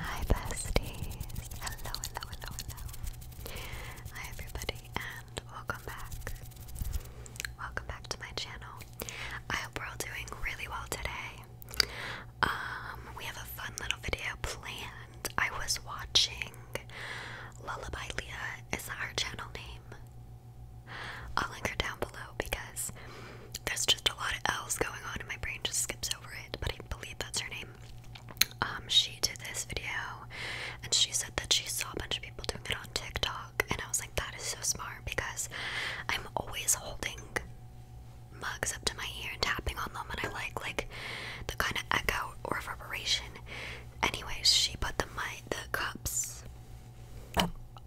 Hi besties! Hello, hello, hello, hello. Hi everybody and welcome back. Welcome back to my channel. I hope we're all doing really well today. Um, we have a fun little video planned. I was watching Lullaby Leah. Is our channel name? I'll link her down below because there's just a lot of L's going on and my brain just skips over it, but I believe that's her name. Um, she did this video and she said that she saw a bunch of people doing it on TikTok, and I was like, that is so smart because I'm always holding mugs up to my ear and tapping on them, and I like like the kind of echo or reverberation. Anyways, she put the my the cups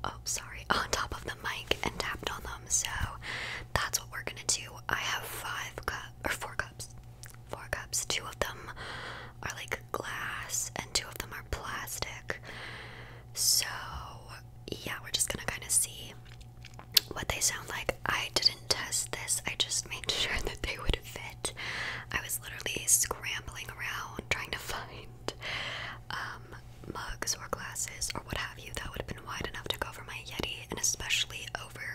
oh sorry, on top of the mic and tapped on them. So that's what we're gonna do. I have five cups or four cups. Four cups. Two of them are like glass and two of them are plastic. So yeah, we're just gonna kinda see what they sound like. I didn't test this, I just made sure that they would fit. I was literally scrambling around trying to find um, mugs or glasses or what have you that would have been wide enough to cover my Yeti and especially over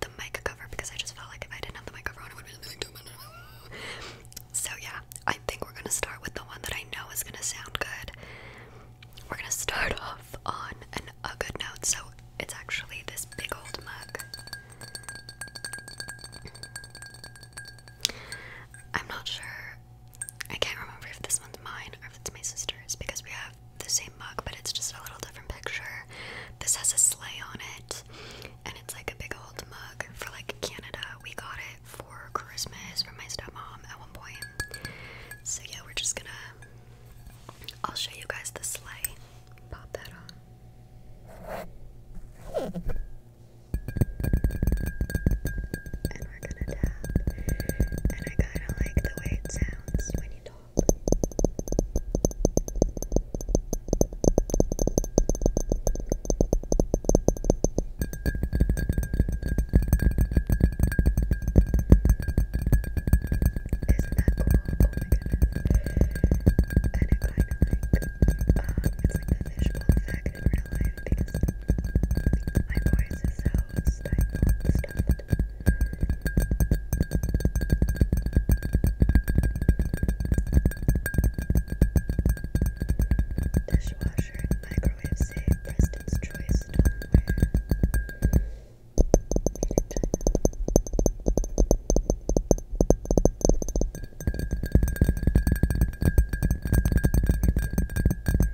the mic cover because I just felt like if I didn't have the mic cover on, it would be like too much. So, yeah, I think we're gonna start with the one that I know is gonna sound good. We're gonna start off on a good note, so it's actually this big old mug. I'm not sure I can't remember if this one's mine or if it's my sister's because we have the same mug, but it's just a little different picture. This has a sleigh on it, and it's like a big old mug for like Canada. We got it for Christmas from my stepmom at one point. So, yeah, we're just gonna. I'll show you guys the sleigh. Pop that on we're gonna tap. And I kinda like the way it sounds when you talk. Isn't oh And it kind of like, um, it's like the visual my life because my voice is so stifled and stuffed. Dishwasher and microwave save Preston's choice stoneware. Made in China. These types of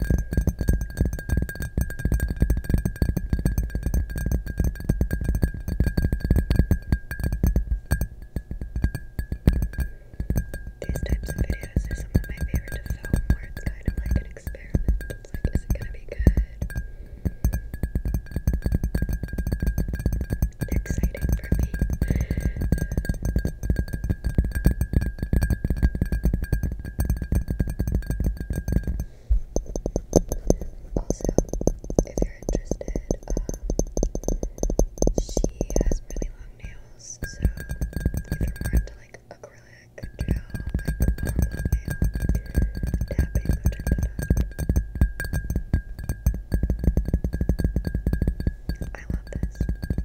videos are some of my favorite to film where it's kind of like an experiment. It's like, is it gonna be good? They're exciting for me. Also, if you're interested, um, she has really long nails, so if you're into like acrylic gel, long, long nail tapping, go check I love this.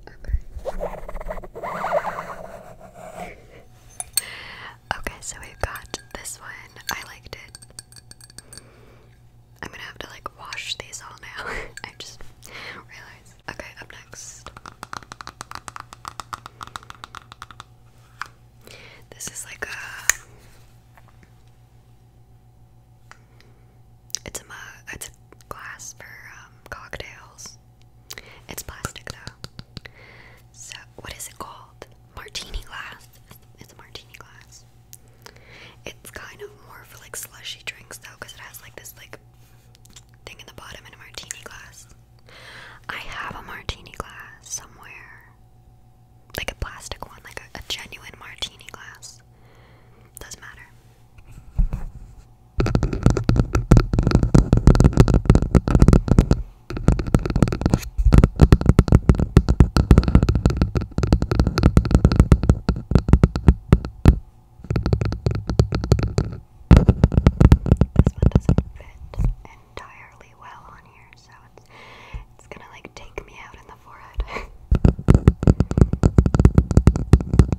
Okay. so we've got this one. I liked it. I'm gonna have to like wash these all now. I just realized. Okay, up next. This is like a. It's a mug. It's a glass for um, cocktails. It's plastic though. So what is it called? Martini glass. It's a martini glass. It's kind of more for like slushy drinks though, because it has like this like thing in the bottom in a martini glass. I have a martini glass somewhere. Like a plastic one, like a, a genuine martini glass. Doesn't matter. This one doesn't fit entirely well on here, so it's it's gonna like take me out in the forehead.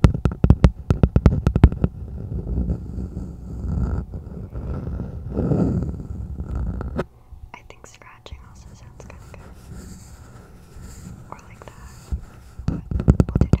I think scratching also sounds kind of good. Or like that. But we'll do tap.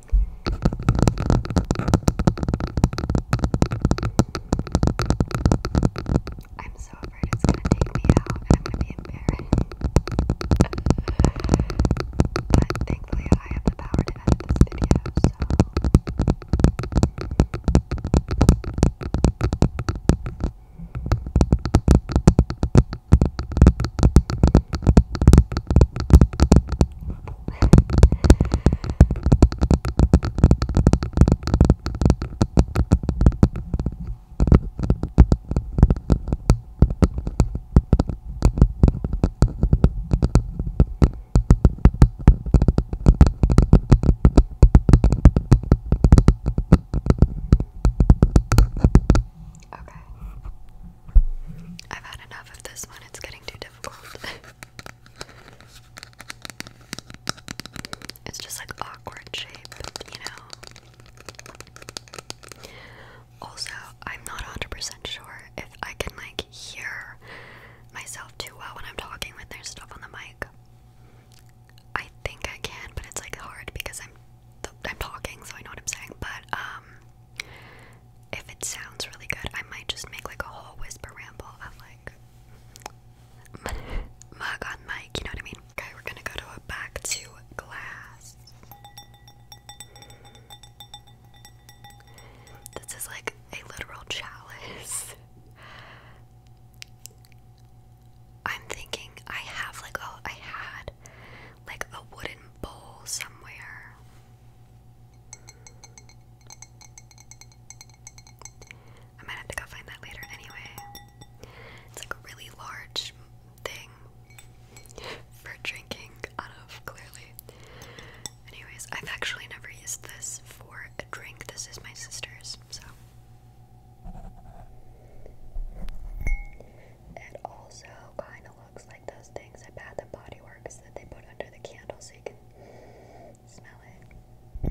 I'm so afraid it's gonna take me out I'm gonna be embarrassed. but thankfully, I have the power to edit this video, so trouble. Okay. I've had enough of this one. It's getting too difficult. It's just like awkward shape, you know. Also, I'm not 100% sure if I can like hear myself too well when I'm talking when there's stuff on the mic. I think I can, but it's like hard because I'm I'm talking, so I know what I'm saying. But um, if it sounds really good, I might just make like a whole whisper ramble of like mug on mic, you know what I mean? Okay, we're gonna go to a back to glass. This is like a literal chalice. I'm thinking I have like oh had like a wooden bowl somewhere. I might have to go find that later anyway. It's a really large thing for drinking out of, clearly. Anyways, I've actually never used this for a drink. This is my sister's, so kind of looks like those things at Bath and Body Works that they put under the candle so you can smell it.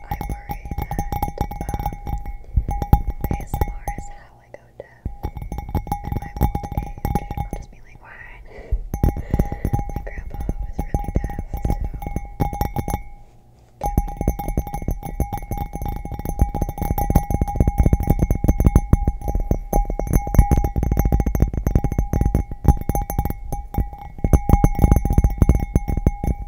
I worry that um, ASMR is how I go deaf in my old age. I'll just be like, why? my grandpa was really deaf, so can we?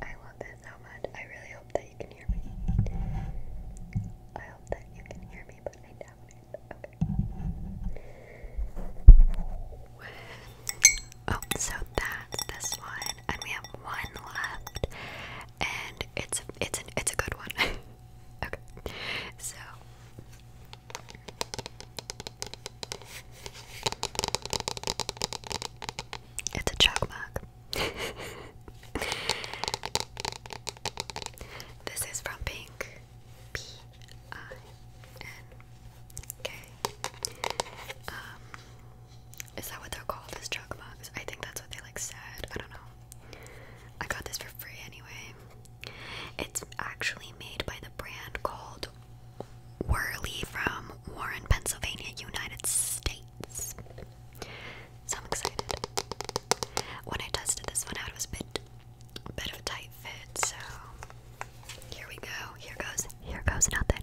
I love this so much. I really hope that you can hear me. I hope that you can hear me, but I doubt it. Okay. Oh, so that's this one, and we have one left, and it's it's an, it's a good one. okay, so it's a chalk mark. this is from Pink. P I N K. Um, is that what they're called? As chalk marks? I think that's what they like said. I don't know. I got this for free anyway. It's actually made by the brand called Whirly from Warren, Pennsylvania, United States. So I'm excited. When I tested this one out, it was a bit, bit of a tight fit, so here we go. Here goes, here goes nothing.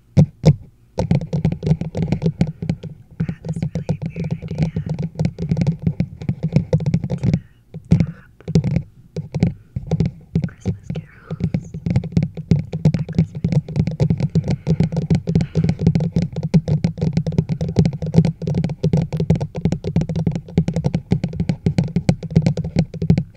I had this really weird idea to tap Christmas carols at Christmas.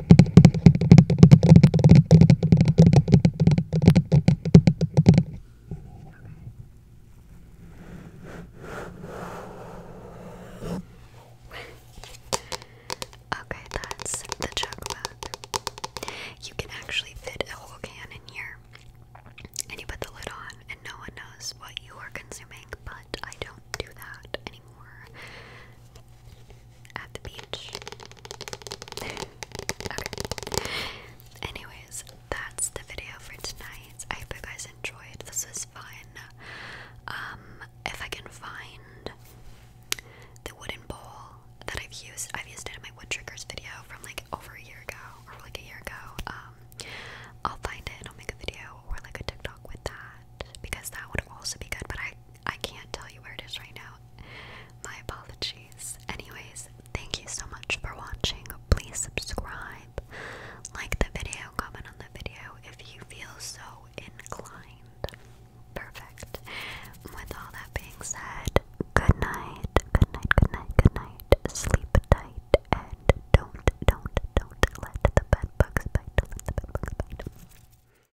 okay, that's the jug You can actually fit a whole can in here, and you put the lid on, and no one knows what you are consuming. But I don't do that anymore at the beach. okay. Anyways, that's the video for tonight. I hope you guys enjoyed. This was fun. Um, if I can find the wooden bowl that I've used, I've used it in my wood triggers video from like over a year ago or like a year ago. Um, I'll find it I'll make a video or like a TikTok with that because that would also be good. But I I can't tell you where it is right now. My apologies. Anyways, thank you so much for watching. Please subscribe, like the video, comment on the video if you feel so inclined. Perfect. With all that being said, good night, good night, good night, good night. Sleep tight and don't, don't, don't let the bed bugs bite. Let the bed bugs bite.